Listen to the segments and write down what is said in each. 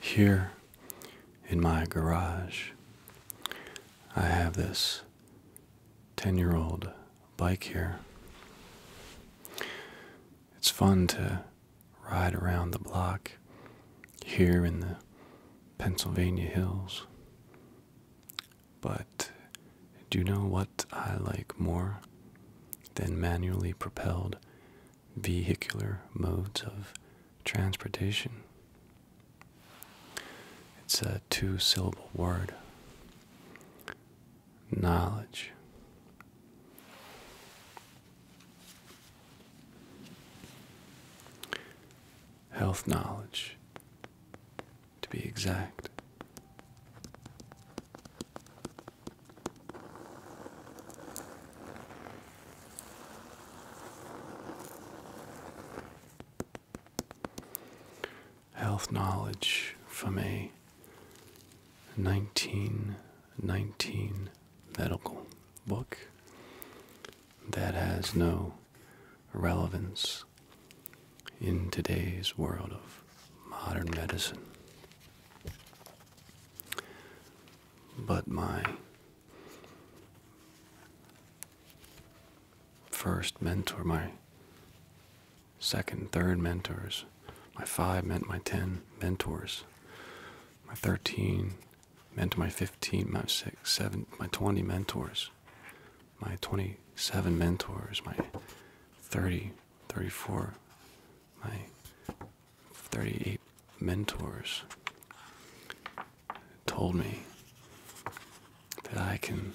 Here in my garage, I have this 10 year old bike here. It's fun to ride around the block here in the Pennsylvania hills. But do you know what I like more than manually propelled vehicular modes of transportation. It's a two syllable word. Knowledge. Health knowledge, to be exact. Health knowledge from a 1919 medical book that has no relevance in today's world of modern medicine but my first mentor, my second, third mentors, my five meant my ten mentors, my thirteen meant my fifteen, my six, seven, my twenty mentors, my twenty-seven mentors, my thirty, thirty-four, my 38 mentors told me that I can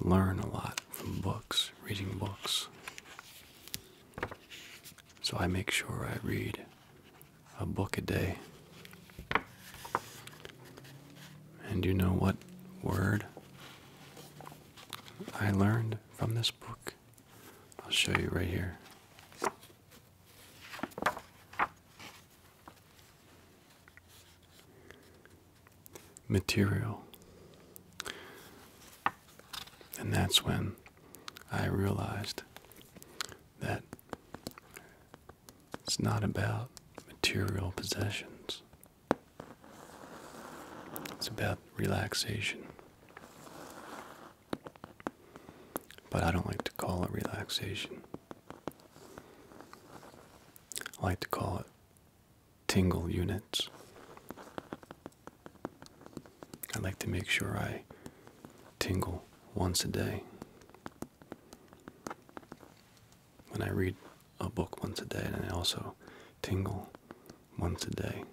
learn a lot from books, reading books. So I make sure I read a book a day. And you know what word I learned from this book? I'll show you right here. Material. And that's when I realized that it's not about material possessions, it's about relaxation. But I don't like to call it relaxation. I like to call it tingle units. I like to make sure I tingle once a day. When I read a book once a day, and I also tingle once a day.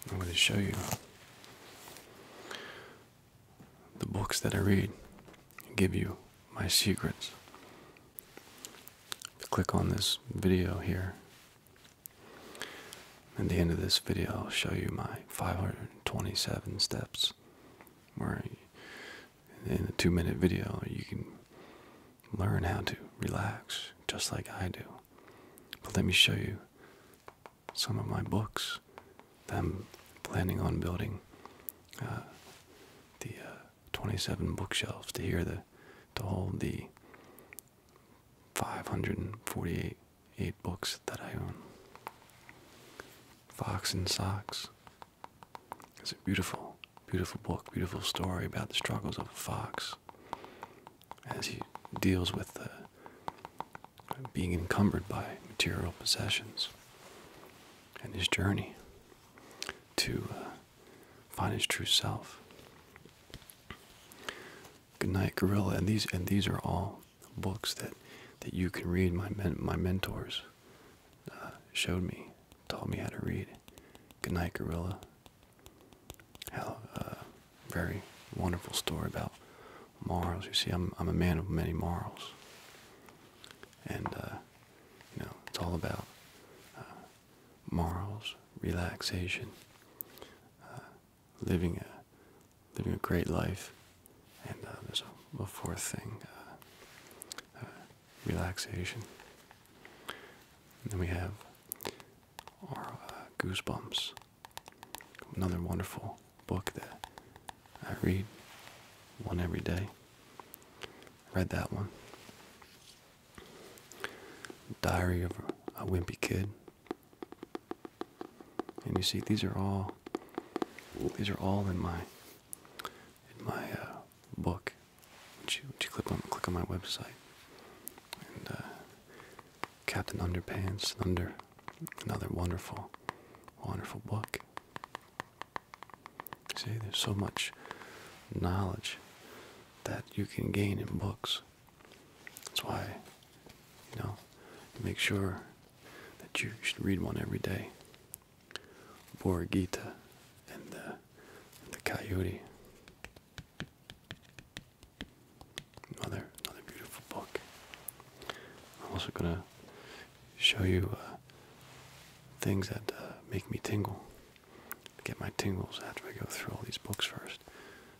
I am going to show you the books that I read give you my secrets. click on this video here, at the end of this video, I'll show you my 527 steps where in a two minute video, you can learn how to relax just like I do. But let me show you some of my books that I'm planning on building uh, the uh, 27 bookshelves to hear to hold the 548 books that I own. Fox and Socks. Is it beautiful? Beautiful book, beautiful story about the struggles of a fox as he deals with being encumbered by material possessions and his journey to uh, find his true self. Good night, Gorilla. And these and these are all books that that you can read. My my mentors uh, showed me taught me how to read. Good night, Gorilla. How a uh, very wonderful story about morals. You see, I'm I'm a man of many morals, and uh, you know it's all about uh, morals, relaxation, living a living a great life, and there's a, fourth thing relaxation. And then we have our uh, Goosebumps, another wonderful book that I read one every day. Read that one. Diary of a Wimpy Kid. And you see, these are all these are all in my in my uh, book would you, click, on, click on my website? And uh, Captain Underpants, under another wonderful, wonderful book. See, there's so much knowledge that you can gain in books. That's why, you know, make sure that you should read one every day. Bhagavad Gita and uh, the coyote. Another another beautiful book. I'm also gonna show you uh, things that uh, make me tingle. Get my tingles after I go through all these books first.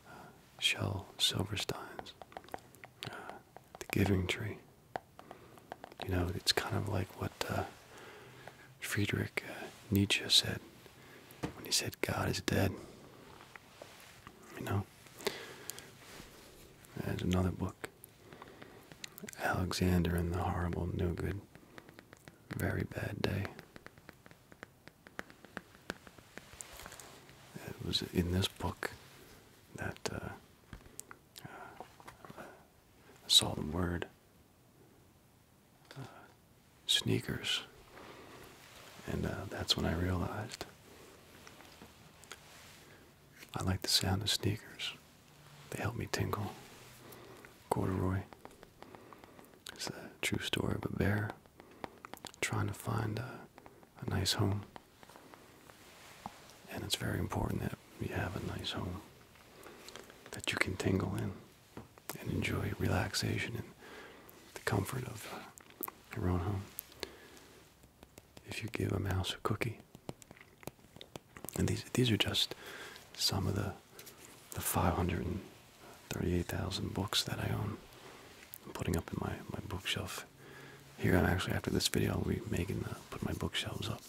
Uh, Shel Silverstein's uh, The Giving Tree. You know, it's kind of like what Friedrich uh, Nietzsche said when he said, God is dead. You know? There's another book. Alexander and the Horrible No Good. Very Bad Day. It was in this book that a uh, uh, solemn word sneakers. And uh, that's when I realized I like the sound of sneakers. They help me tingle. Corduroy. It's a true story of a bear trying to find a, a nice home. And it's very important that you have a nice home that you can tingle in and enjoy relaxation and the comfort of uh, your own home. If you give a mouse a cookie, and these these are just some of the the 538,000 books that I own. I'm putting up in my my bookshelf. Here I'm actually after this video I'll be making the, uh, put my bookshelves up.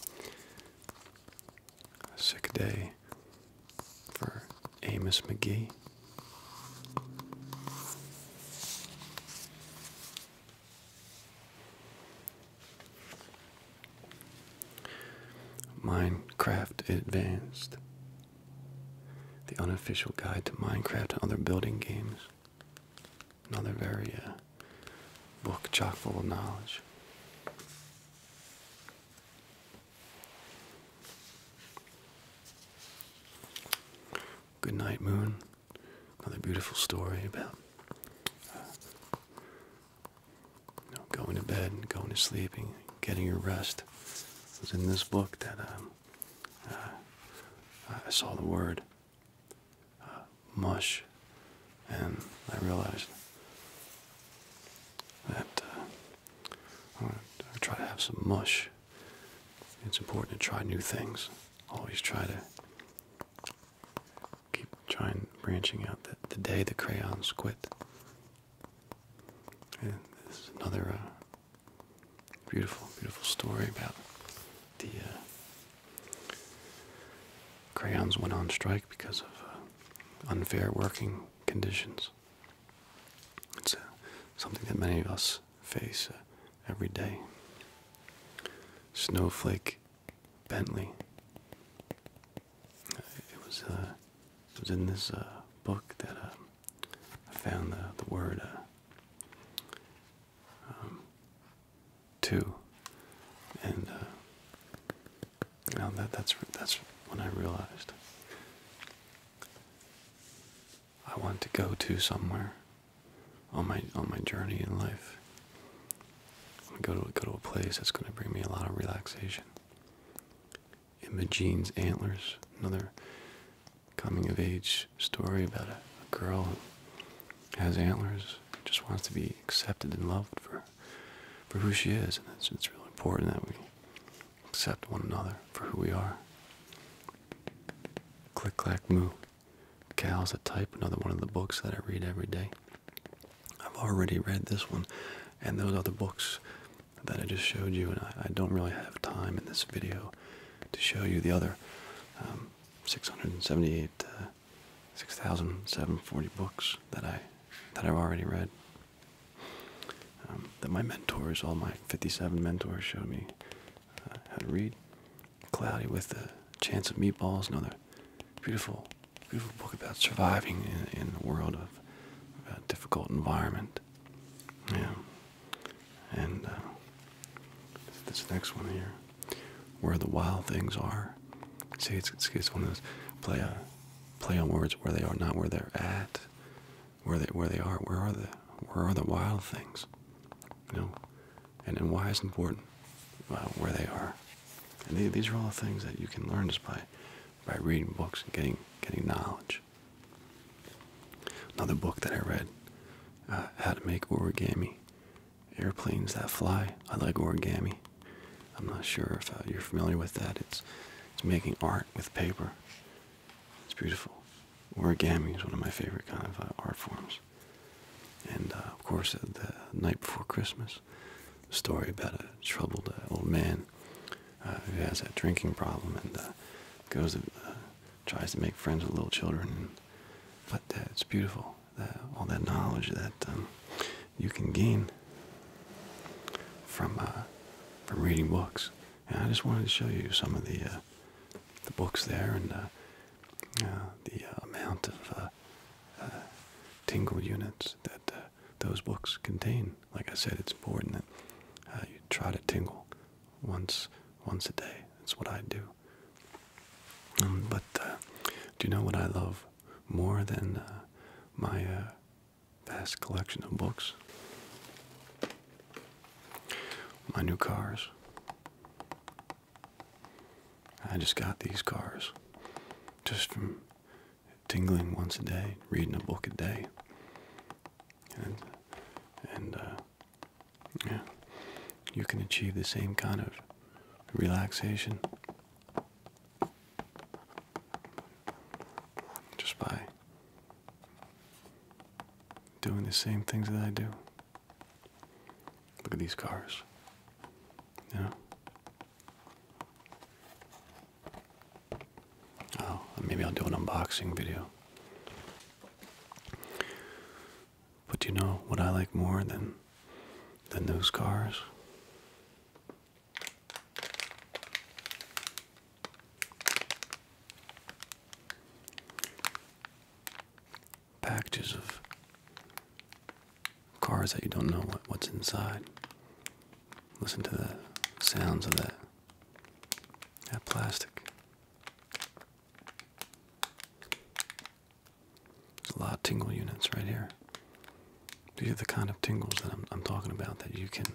Sick day for Amos McGee. Minecraft Advanced. The unofficial guide to Minecraft and other building games. Another very uh, book chock full of knowledge. Good Night Moon, another beautiful story about uh, going to bed, and going to sleeping, getting your rest. It was in this book that um, uh, I saw the word uh, mush and I realized that uh, I want to try to have some mush. It's important to try new things. Always try to keep trying branching out. The, the day the crayons quit. And this is another uh, beautiful, beautiful story about the uh, crayons went on strike because of unfair working conditions. It's uh, something that many of us face uh, every day. Snowflake Bentley. Uh, it was was in this book that um, I found the the word um, two, and now oh, that that's that's when I realized I want to go to somewhere on my on my journey in life. go to go to a place that's going to bring me a lot of relaxation. Imogene's Antlers, another coming of age story about a girl who has antlers, just wants to be accepted and loved for for who she is, and it's, really important that we accept one another for who we are. Click clack moo. is a type, another one of the books that I read every day. I've already read this one and those other books that I just showed you, and I, don't really have time in this video to show you the other um, 678, uh, 6,740 books that I that I've already read. Um, that my mentors, all my 57 mentors, showed me uh, how to read. Cloudy with a Chance of Meatballs, another beautiful, beautiful book about surviving in, in the world of difficult environment. Yeah. And uh, this next one here, Where the Wild Things Are. See, it's, it's, it's one of those, play a uh, play on words where they are not where they're at where they where they are where are the where are the wild things you know and and why is important where they are and they, these are all things that you can learn just by by reading books and getting getting knowledge another book that I read uh, how to make origami airplanes that fly I like origami I'm not sure if uh, you're familiar with that. It's it's making art with paper. It's beautiful. Origami is one of my favorite kind of uh, art forms. And uh, of course, the night before Christmas, a story about a troubled old man who has a drinking problem and goes tries to make friends with little children. But uh, it's beautiful. all that knowledge that um, you can gain from uh, from reading books. And I just wanted to show you some of the uh, the books there and uh, the amount of tingle units that those books contain. Like I said, it's important that you try to tingle once once a day. That's what I do. Um, but do you know what I love more than my vast collection of books, my new cars. I just got these cars just from tingling once a day, reading a book a day. And, and uh, yeah, you can achieve the same kind of relaxation just by doing the same things that I do. Look at these cars. You Oh, maybe I'll do an unboxing video. But do you know what I like more than than those cars? Packages of cars that you don't know what, what's inside. Listen to the sounds of that that plastic. There's a lot of tingle units right here. These are the kind of tingles that I'm, talking about that you can,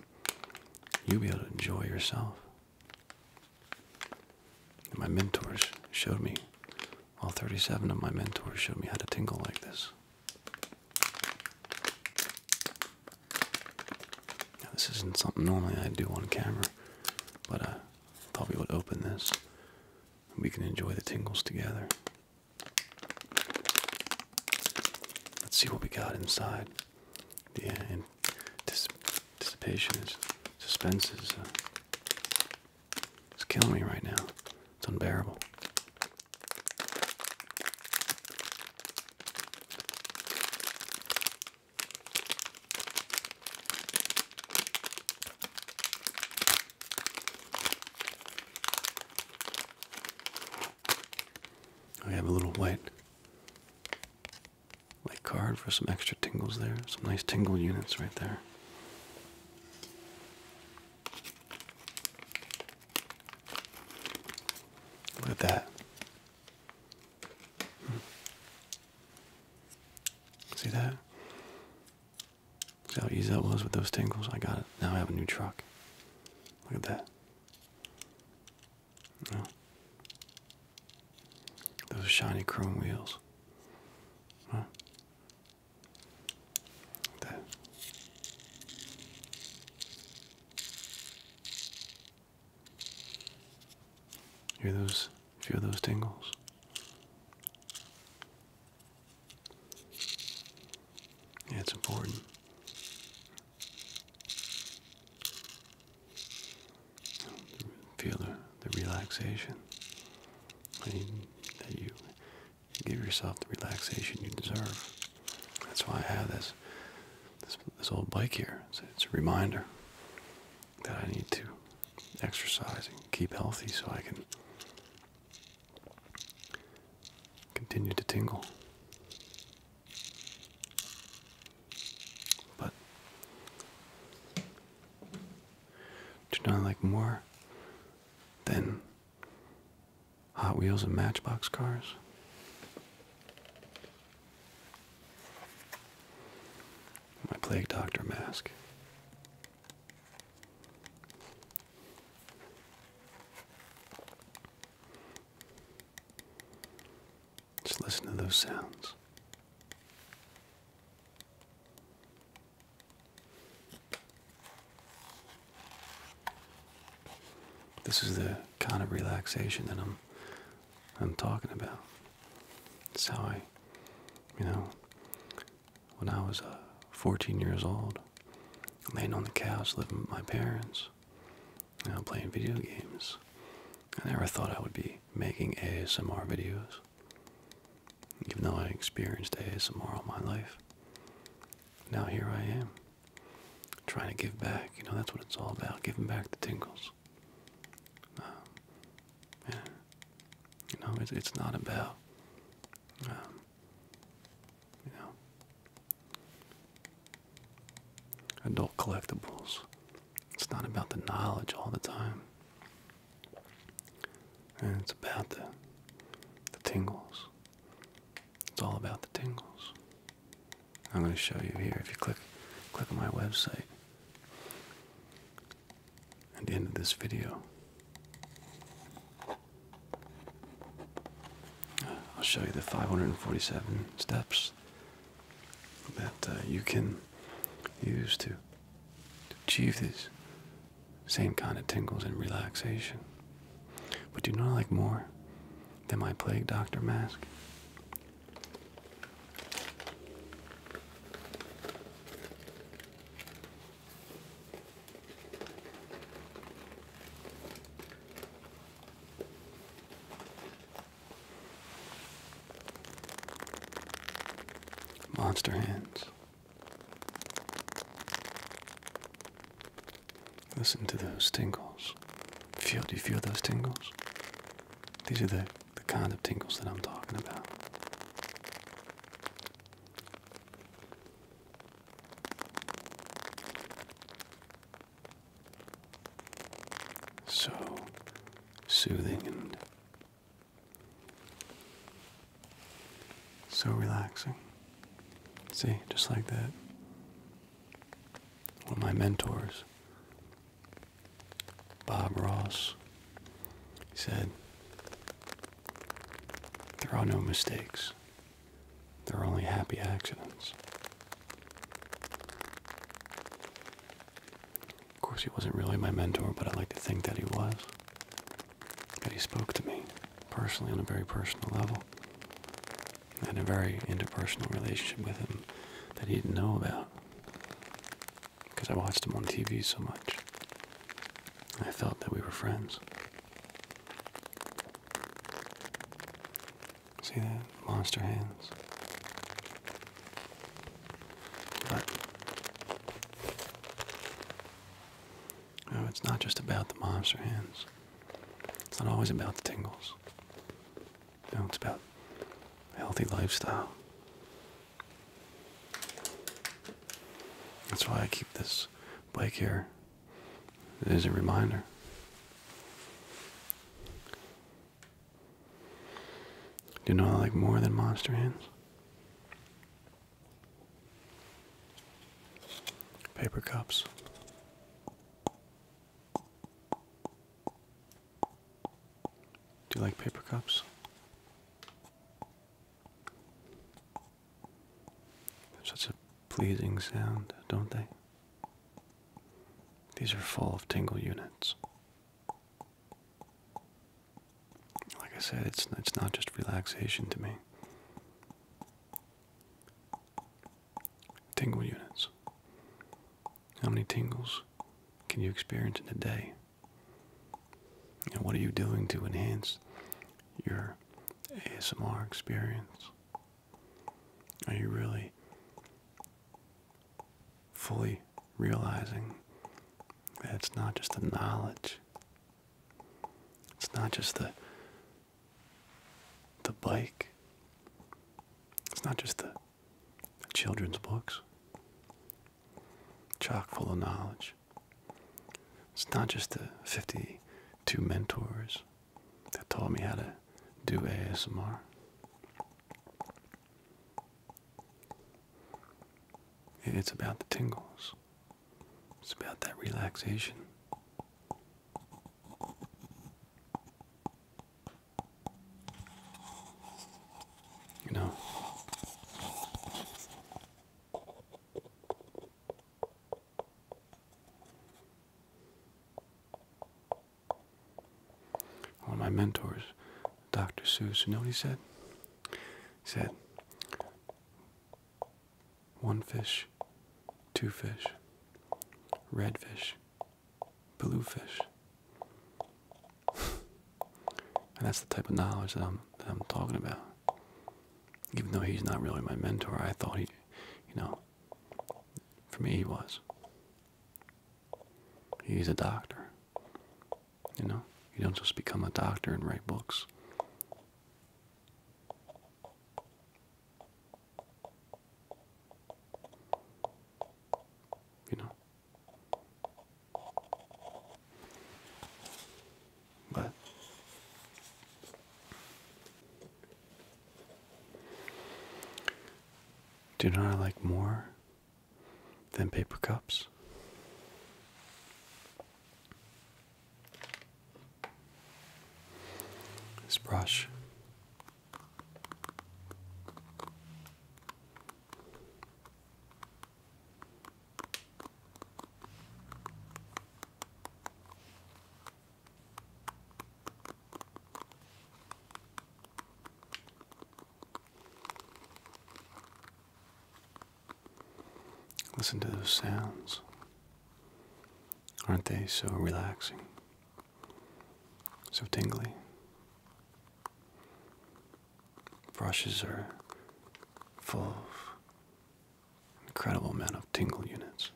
you'll be able to enjoy yourself. my mentors showed me, all 37 of my mentors showed me how to tingle like this. Now, this isn't something normally I do on camera, but I thought we would open this we can enjoy the tingles together. Let's see what we got inside. The yeah, anticipation is, suspense is, uh, killing me right now. It's unbearable. I have a little white light card for some extra tingles there, some nice tingle units right there. Look at that. Hmm. See that? See how easy that was with those tingles? I got it. Now I have a new truck. Look at that. Those shiny chrome wheels. Huh? that. Hear those? Feel those tingles it's important. Feel the, the relaxation I mean, that you give yourself the relaxation you deserve. That's why I have this this, this old bike here. it's a reminder that I need to exercise and keep healthy so I can continue to tingle. But do not like more than Hot Wheels and Matchbox cars. My plague doctor mask. Just listen to those sounds. This is the kind of relaxation that I'm I'm talking about. It's how I, you know, when I was a uh, 14 years old, laying on the couch, living with my parents, you playing video games. I never thought I would be making ASMR videos, even though I experienced ASMR all my life. Now here I am, trying to give back. You know, that's what it's all about, giving back the tingles. Um, you know, it's, not about um, you know, adult collectibles. It's not about the knowledge all the time. And it's about the the tingles. It's all about the tingles. I'm going to show you here if you click click on my website. At the end of this video, I'll show you the 547 steps that uh, you can use to, achieve these same kind of tingles and relaxation. But do you know like more than my plague doctor mask. Monster hands. Listen to those tingles. Feel, do you feel those tingles? These are the, the kind of tingles that I'm talking about. So soothing and so relaxing. See, just like that. One of my mentors, Bob Ross, he said, There are no mistakes. There are only happy accidents. Of course, he wasn't really my mentor, but I like to think that he was. That he spoke to me personally on a very personal level. And a very interpersonal relationship with him that he didn't know about because I watched him on TV so much. I felt that we were friends. See that? Monster hands. But, oh, it's not just about the monster hands. It's not always about the tingles. You it's about a healthy lifestyle. That's why I keep this bike here is a reminder. Do you know I like more than monster hands? Paper cups. Do you like paper cups? Such a pleasing sound, don't they? These are full of tingle units. Like I said, it's it's not just relaxation to me. Tingle units. How many tingles can you experience in a day? And what are you doing to enhance your ASMR experience? Are you really fully realizing that it's not just the knowledge? It's not just the the bike. It's not just the, children's books. Chock full of knowledge. It's not just the 52 mentors that taught me how to do ASMR. It's about the tingles. It's about that relaxation. You know, one of my mentors, Dr. Seuss, know he said? said, one fish, two fish, red fish, blue fish. and that's the type of knowledge that I'm talking about. Even though he's not really my mentor, I thought he, you know, for me he was. He's a doctor. You know, you don't just become a doctor and write books. You know. But do you know I like more than paper cups? This brush. Listen to those sounds. Aren't they so relaxing? So tingly. Brushes are full Incredible amount of tingle units.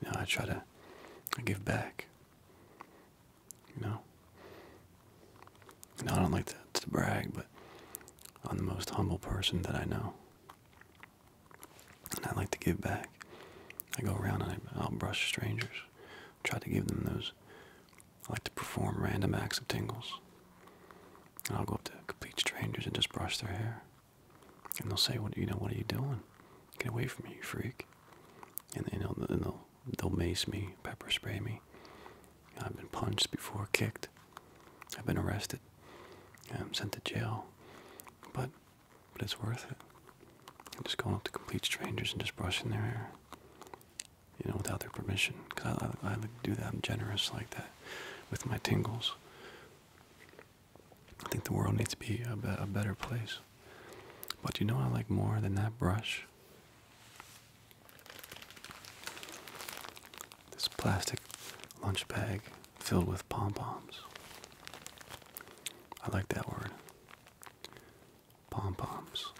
You know, I try to I give back. You know? You know, I don't like to, brag, but I'm the most humble person that I know. And I like to give back. I go around and I, I'll brush strangers try to give them those. I like to perform random acts of tingles. I'll go up to complete strangers and just brush their hair. And they'll say, "What you know? What are you doing? Get away from me, you freak!" And you know, and they'll they'll mace me, pepper spray me. I've been punched before, kicked. I've been arrested. i sent to jail. But but it's worth it. And just going up to complete strangers and just brushing their hair, you know, without their permission. Because I, I, do that. I'm generous like that with my tingles. I think the world needs to be a better place. But you know I like more than that brush? This plastic lunch bag filled with pom-poms. I like that word pom poms,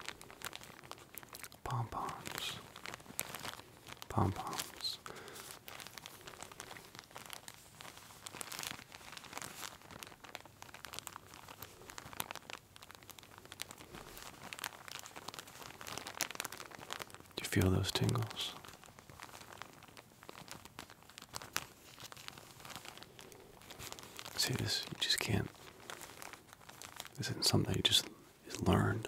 pom poms, pom poms. Do you feel those tingles? See this, you just can't. This isn't something you just is learned.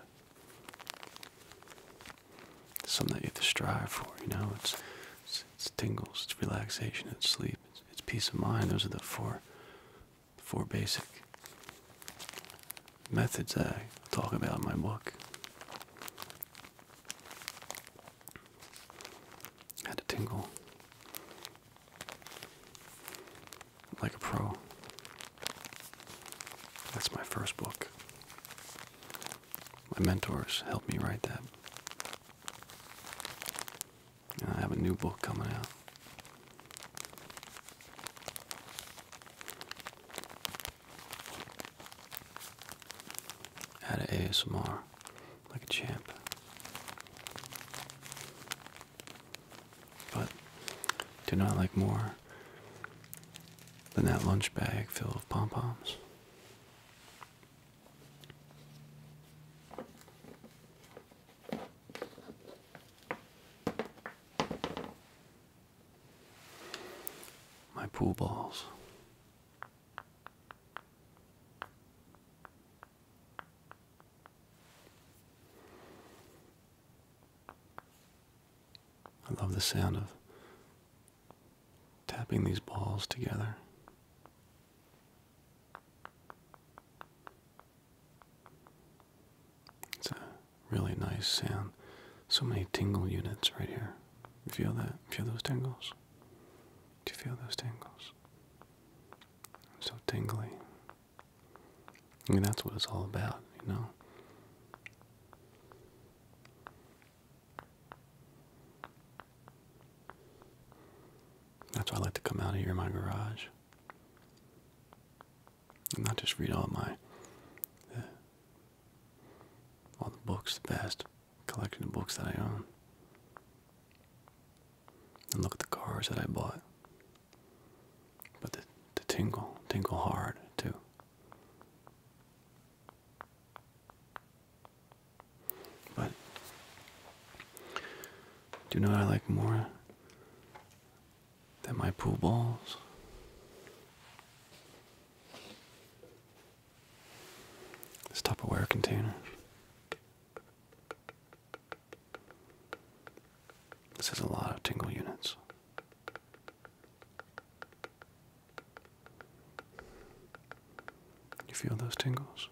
It's something that you have to strive for, you know? It's, it's, tingles, it's relaxation, it's sleep, it's peace of mind. Those are the four, four basic methods I talk about in my book. Had a tingle. Like a Pro. That's my first book. My mentors helped me write that. And I have a new book coming out. How to ASMR like a champ. But do not like more than that lunch bag filled with pom poms. My pool balls. I love the sound of tapping these balls together. It's a really nice sound. So many tingle units right here. Feel that? Feel those tingles? Do you feel those tingles? so tingly. I mean, that's what it's all about, you know. That's why I like to come out of here in my garage and not just read all my uh, all the books, the best collection of books that I own and look at the cars that I bought. But the, tingle, tingle hard too. But do you know what I like more than my pool balls? This Tupperware container. This has a lot of tingle units. You feel those tingles?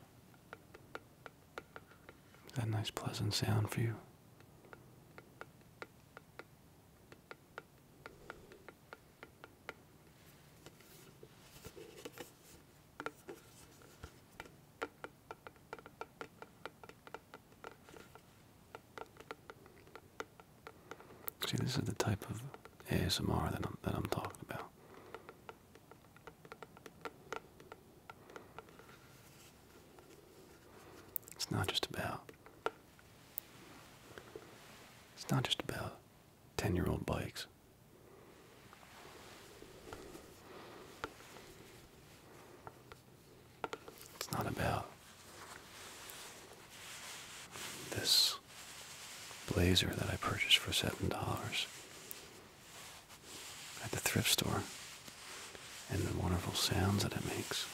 Is that nice pleasant sound for you? See, this is the type of ASMR that I'm that I'm talking about. It's not just about. It's not just about ten-year-old bikes. It's not about this blazer that I purchased for $7 at the thrift store and the wonderful sounds that it makes.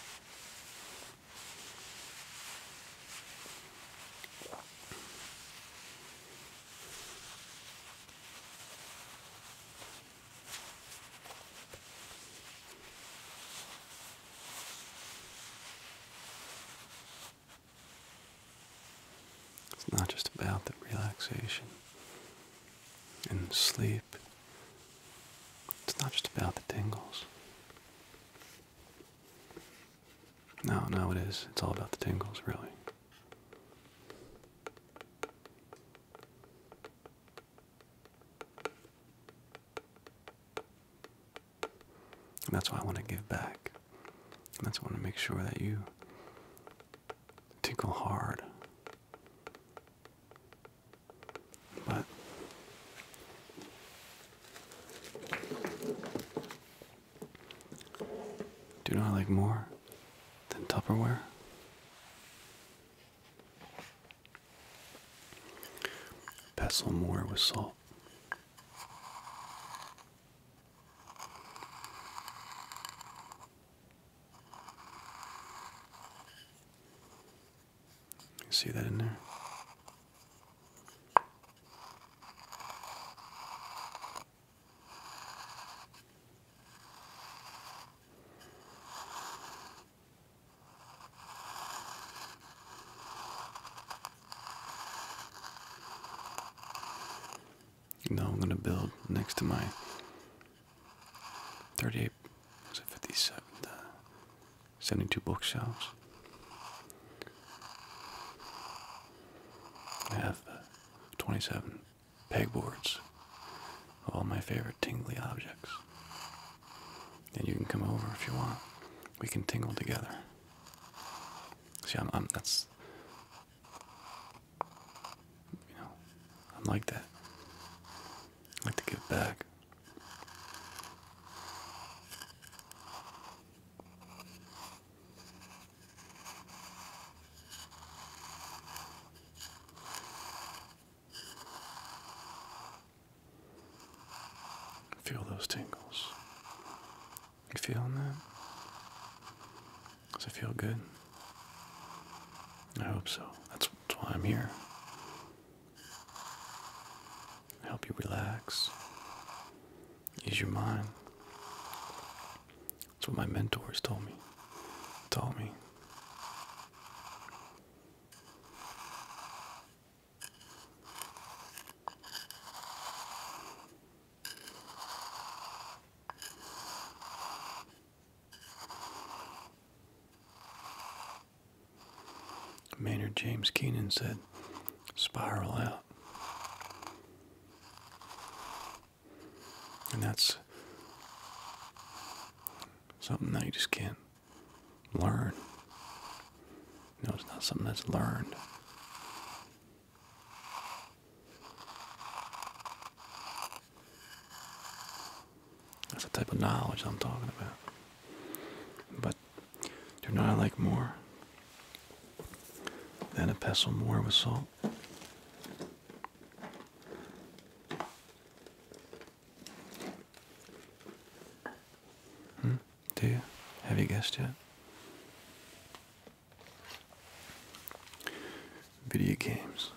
It's not just about the relaxation and sleep. It's not just about the tingles. No, no, it is. It's all about the tingles, really that's why I want to give back. that's why I want to make sure that you tickle hard. But do you know I like more? than Tupperware. Pestle more with salt. see that in there? Now I'm going to build next to my 38, was it 57, 72 bookshelves. I have 27 pegboards, all my favorite tingly objects. And you can come over if you want. We can tingle together. See, I'm, that's you know, I'm like that. like to give back. Feel those tingles. You feeling that? Does it feel good? I hope so. That's, that's why I'm here. Help you relax, ease your mind, that's what my mentors told me. Told me. Maynard James Keenan said, spiral out. And that's something that you just can't learn. No, it's not something that's learned. That's the type of knowledge I'm talking about. But do not like more than a pestle more with salt. Hmm? Do you? Have you guessed yet? Video games.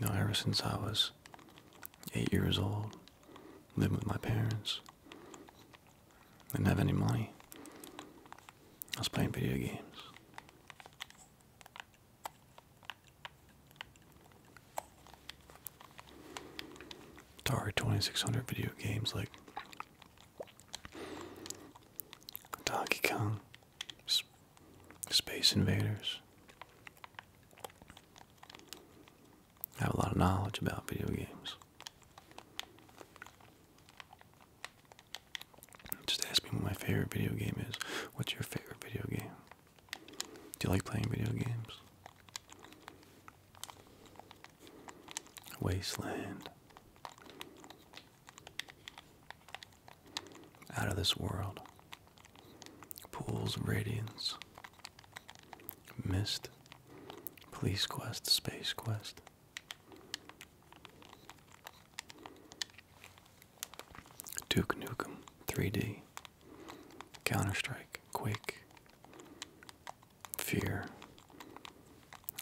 You ever since I was eight years old, living with my parents, didn't have any money. I was playing video games. Atari 2600 video games like Donkey Kong, Space Invaders. I have a lot of knowledge about video games. Just ask me what my favorite video game is. What's your favorite video game? Do you like playing video games? Wasteland. Out of this world. Pools of Radiance. Mist. Police Quest. Space Quest. Duke Nukem 3D, Counter Strike, Quake, Fear,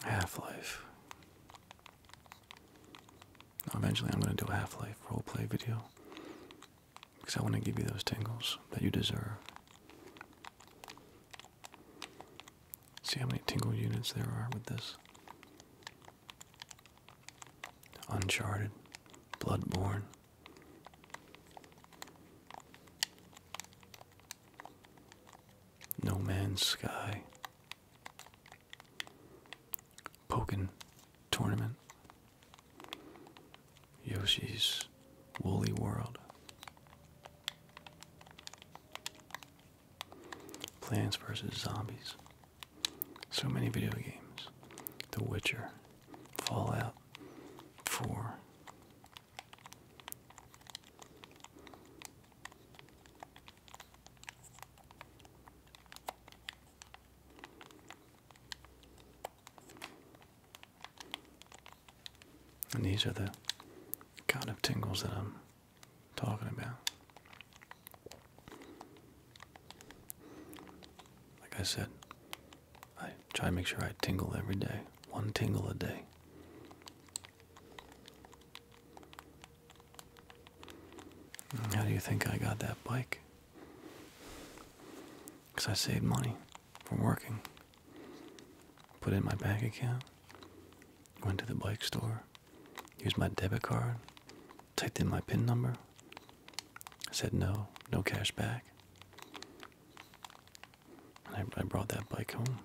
Half Life. Eventually, I'm going to do a Half Life roleplay video because I want to give you those tingles that you deserve. See how many tingle units there are with this. Uncharted, Bloodborne. No Man's Sky. Pokken Tournament. Yoshi's Woolly World. Plants vs. Zombies. So many video games. The Witcher. Fallout 4. And these are the kind of tingles that I'm talking about. Like I said, I try to make sure I tingle every day, one tingle a day. How do you think I got that bike? Because I saved money from working. Put in my bank account. Went to the bike store. Used my debit card. Typed in my PIN number. said no, no cash back. I, brought that bike home.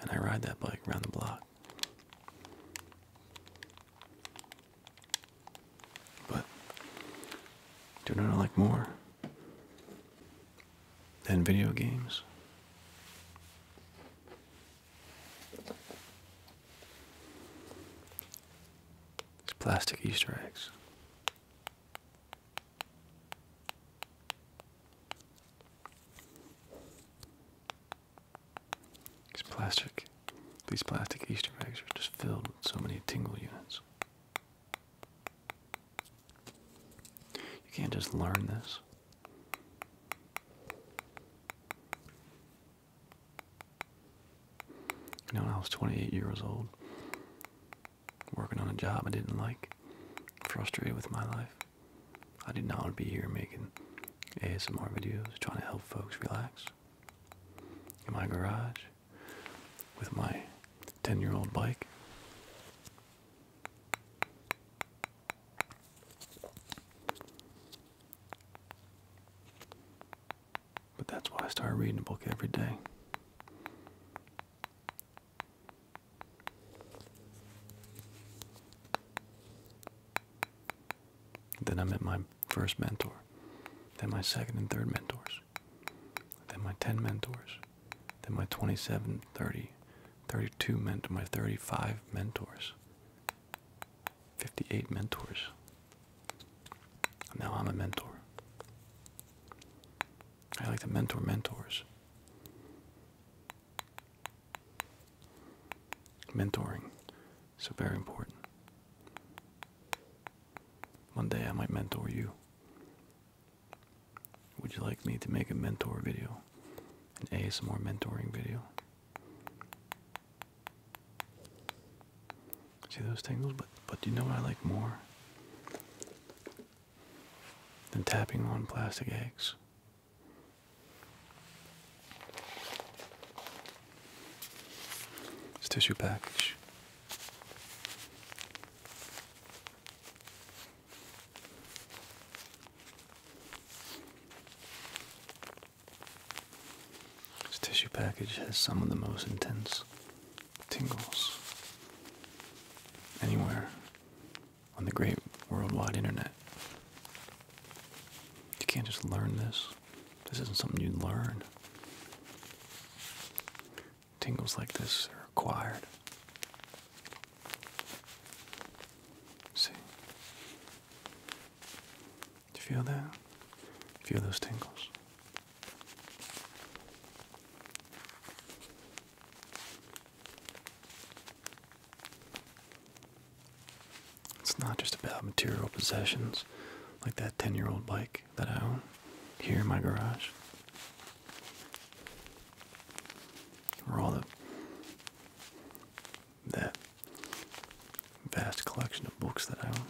And I ride that bike around the block. But do not like more. And video games. It's plastic Easter eggs. These plastic, these plastic Easter eggs are just filled with so many tingle units. You can't just learn this. You know, when I was 28 years old, working on a job I didn't like, frustrated with my life, I did not want to be here making ASMR videos, trying to help folks relax in my garage with my 10 year old bike but that's why I started reading a book every day. Then I met my first mentor, then my second and third mentors, then my ten mentors. Then my 27, 30, 32 meant my 35 mentors, 58 mentors. Now I'm a mentor. I like to mentor mentors. Mentoring so very important. One day I might mentor you. Would you like me to make a mentor video? An ASMR mentoring video? See those tangles, But, but do you know what I like more than tapping on plastic eggs? It's tissue package. This tissue package has some of the most intense tingles anywhere on the great worldwide internet. You can't just learn this. This isn't something you learn tingles like this are acquired. See? you feel that? Feel those tingles? It's not just about material possessions like that 10 year old bike that I own here in my garage. For all the that vast collection of books that I own.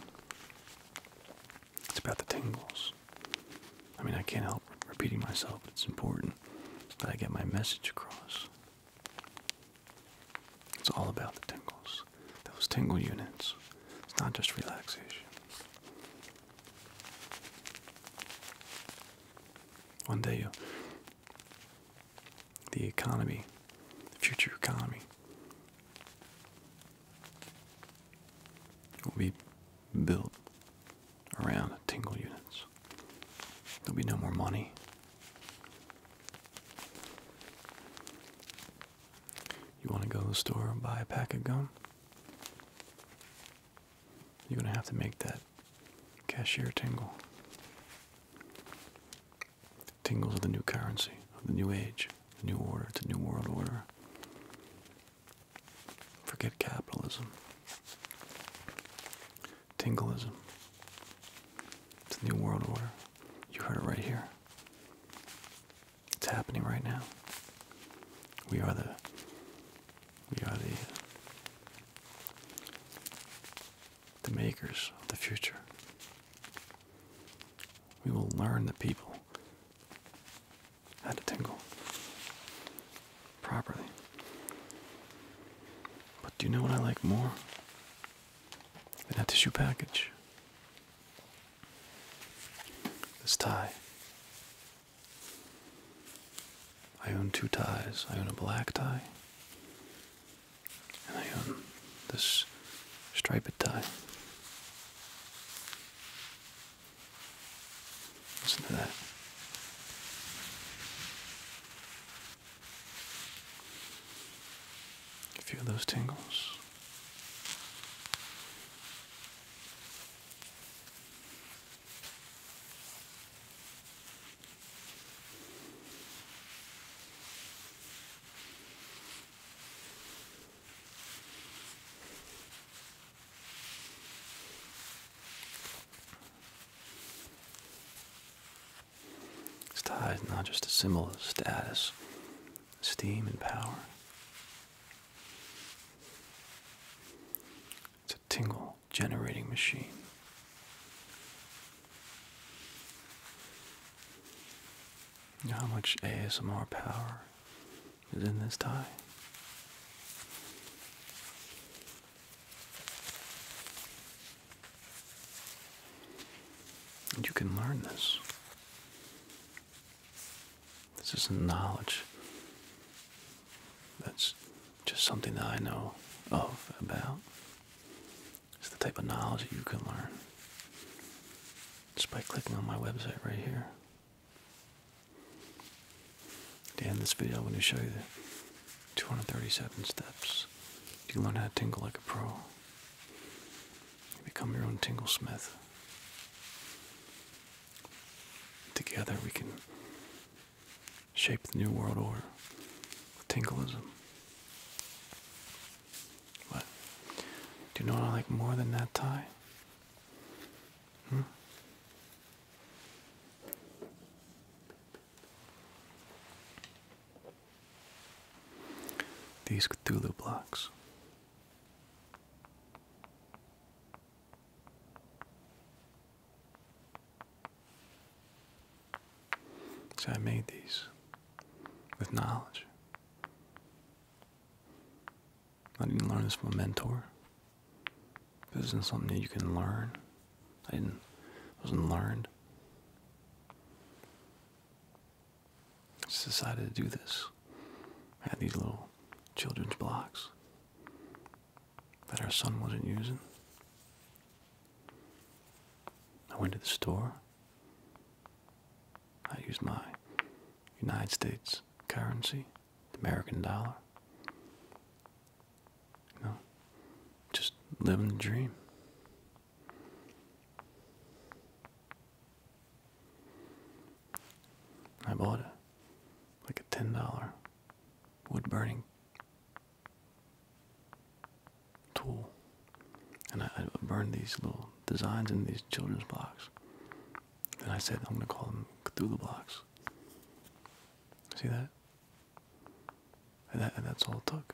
It's about the tingles. I mean, I can't help repeating myself, but it's important that I get my message across. It's all about the tingles, those tingle units. It's not just relaxation, one day, uh, the economy, the future economy, will be built around tingle units. There'll be no more money. You want to go to the store and buy a pack of gum? You're going to have to make that cashier tingle. Tingles of the new currency, of the new age, the new order, the new world order. Forget capitalism. Tingleism. It's the new world order. You heard it right here. It's happening right now. We are the we are the makers of the future. We will learn the people how to tingle properly. But do you know what I like more than that tissue package? This tie. I own two ties. I own a black tie, and I own this striped tie. Listen to that. Feel those tingles. It's is not just a symbol of status, esteem, and power. It's a tingle generating machine. how much ASMR power is in this tie? And you can learn this. This is knowledge that's just something that I know of about. It's the type of knowledge you can learn just by clicking on my website right here. At the this video, I'm going to show you the 237 steps. You can learn how to tingle like a pro. become your own tingle smith. Together we can shape the new world order with Tinkleism. do you know what I like more than that tie? Hmm? These Cthulhu blocks. So I made these with knowledge. I didn't learn this from a mentor. This isn't something that you can learn. I didn't wasn't learned. I just decided to do this. I had these little children's blocks that our son wasn't using. I went to the store. I used my United States currency, the American dollar. You know, just living the dream. I bought a, Like a $10 wood burning tool. And I, burned these little designs in these children's blocks. And I said, I'm going to call them Cthulhu blocks. See that? And, that? and that's all it took.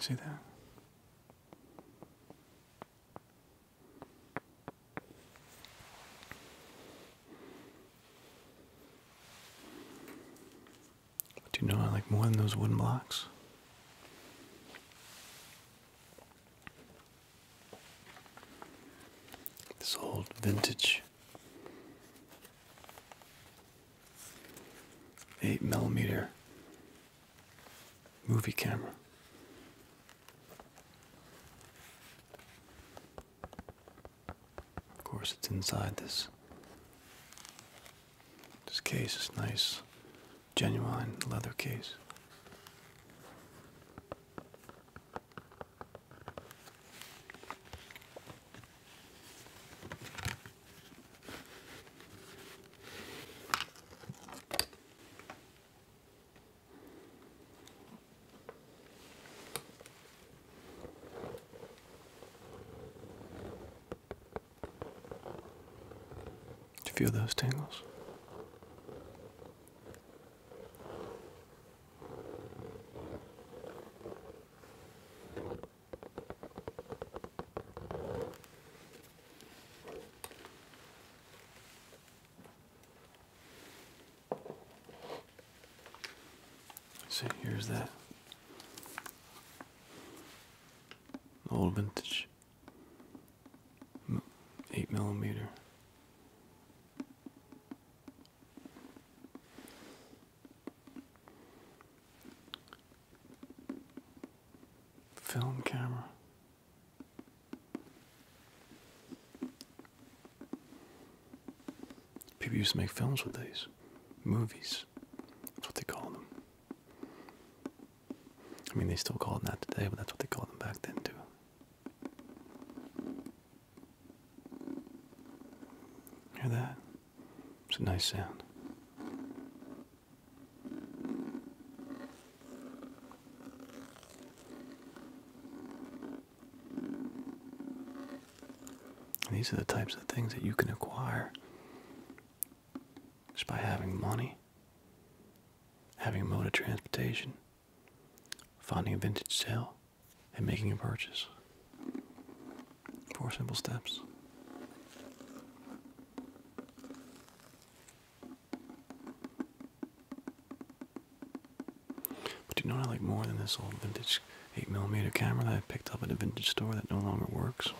See that? do you know I like more than those wooden blocks? This old vintage eight millimeter movie camera. Of course, it's inside this. This case is nice, genuine leather case. Do you feel those tangles. See, here's that old vintage eight millimeter. Film camera. People used to make films with these. Movies. That's what they call them. I mean, they still call them that today, but that's what they called them back then, too. Hear that? It's a nice sound. These are the types of things that you can acquire just by having money, having a mode of transportation, finding a vintage sale, and making a purchase. Four simple steps. But do you know what I like more than this old vintage 8mm camera that I picked up at a vintage store that no longer works?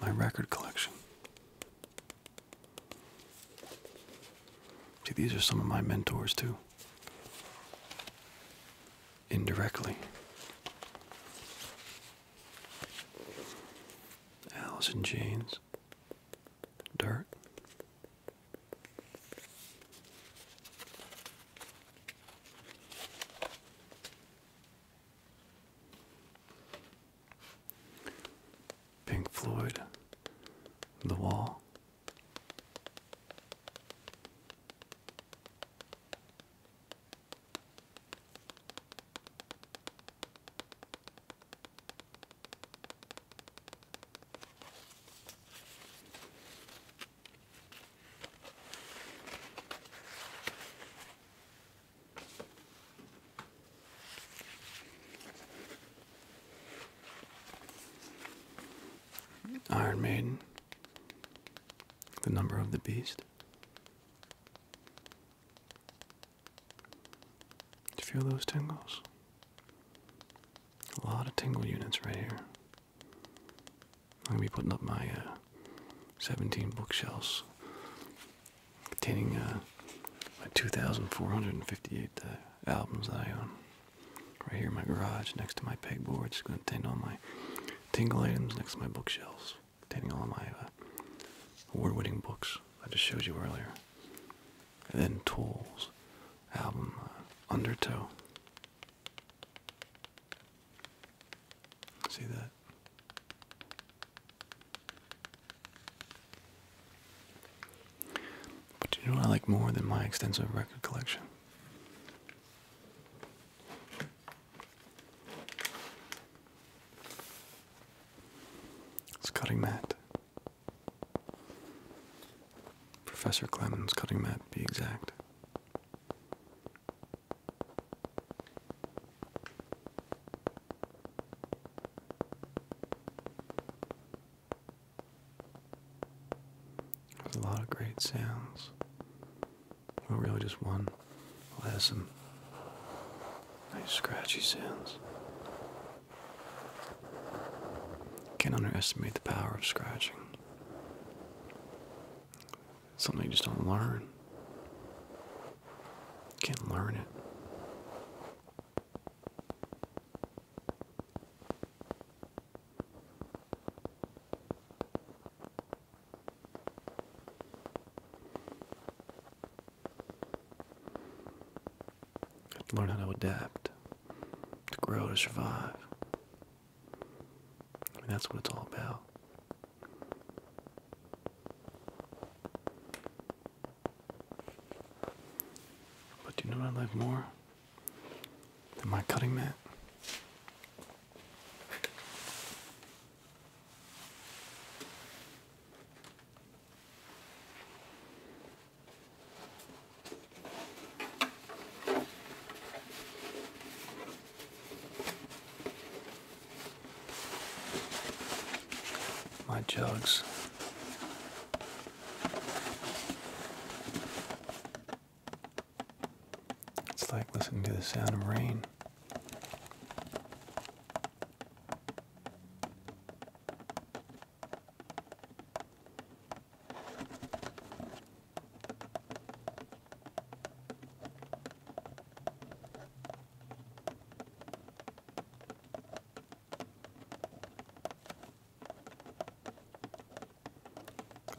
My record collection. See, these are some of my mentors, too. Indirectly. Alice in Chains, Dirt. Pink Floyd, The Wall. Iron Maiden, the number of the beast feel those tingles? A lot of tingle units right here. I'm gonna be putting up my uh, 17 bookshelves containing uh, my 2,458 uh, albums that I own. Right here in my garage, next to my pegboard, it's gonna contain all my tingle items. Next to my bookshelves, containing all my award-winning books I just showed you earlier. And then Tools album uh, Undertow. See that? But you know what I like more than my extensive record collection? It's cutting Matt. Professor Clemens' cutting mat, be exact. There's a lot of great sounds. Well, really just one. Well, that has some nice scratchy sounds. Can't underestimate the power of scratching. something you just don't learn. can't learn it to learn how to adapt, to grow, to survive. I mean, that's what it's all about. But do you know what I like more than my cutting mat? My jugs. It's like listening to the sound of rain.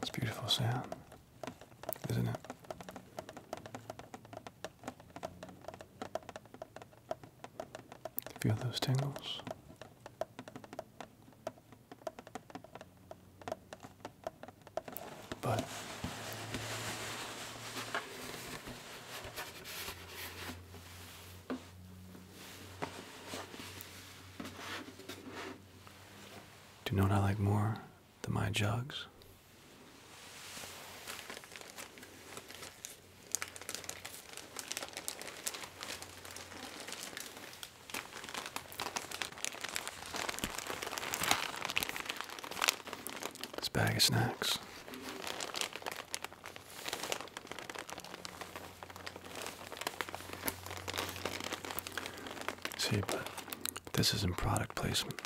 It's beautiful sound, isn't it? Feel those tingles. But do you know what I like more than my jugs? This bag of snacks. See, but this isn't product placement.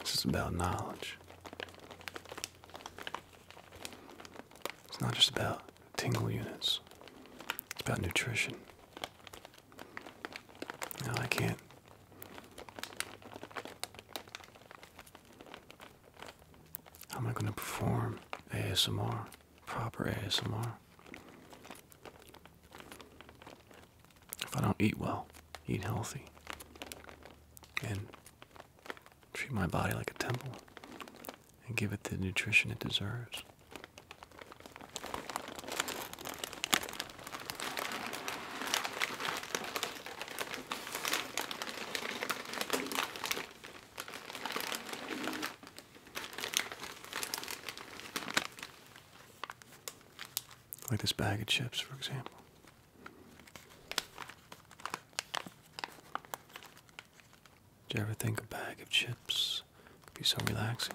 This is about knowledge. It's not just about tingle units, it's about nutrition. No, I can't. How am I going to perform ASMR, proper ASMR? if I don't eat well, eat healthy, and treat my body like a temple and give it the nutrition it deserves like this bag of chips, for example. Did you ever think a bag of chips could be so relaxing?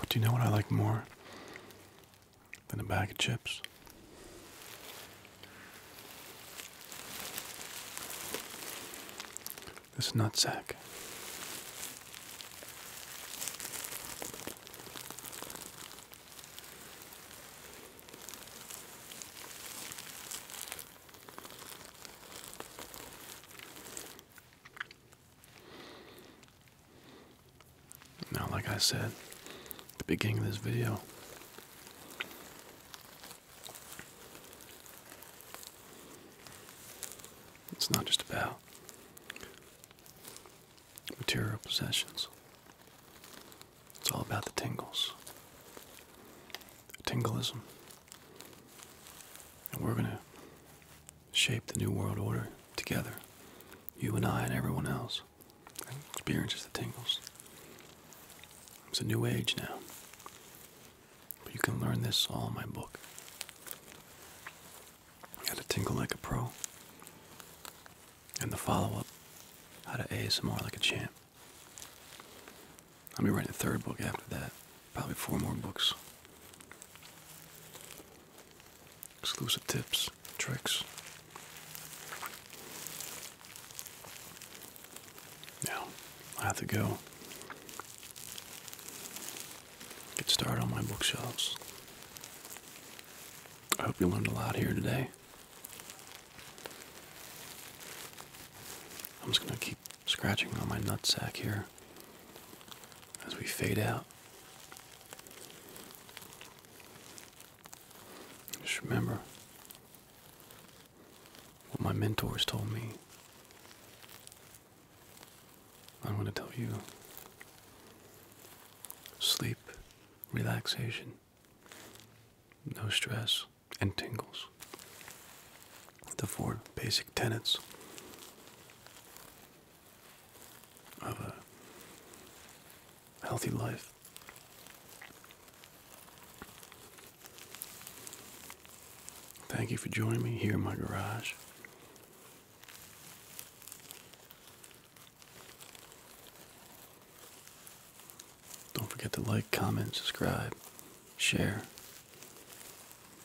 But do you know what I like more than a bag of chips? this nut sack. Now, like I said at the beginning of this video, it's not just about material possessions. It's all about the tingles. Tingleism. And we're going to shape the new world order together. You and I and everyone else experience the tingles. It's a new age now you can learn this all in my book. How to tingle like a pro. And the follow-up, how to ASMR like a champ. I'll be writing a third book after that. Probably four more books. Exclusive tips, tricks. Now, I have to go get started on my bookshelves. I hope you learned a lot here today. I'm just going to keep scratching on my nut sack here as we fade out. Just remember, what my mentors told me. I want to tell you sleep, relaxation, no stress, and tingles. The four basic tenets of a healthy life. Thank you for joining me here in my garage. Don't forget to like, comment, subscribe, share,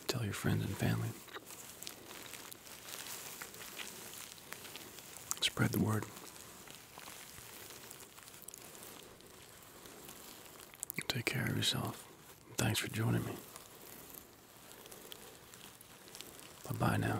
tell your friends and family. Spread the word. Take care of yourself. Thanks for joining me. Bye bye now.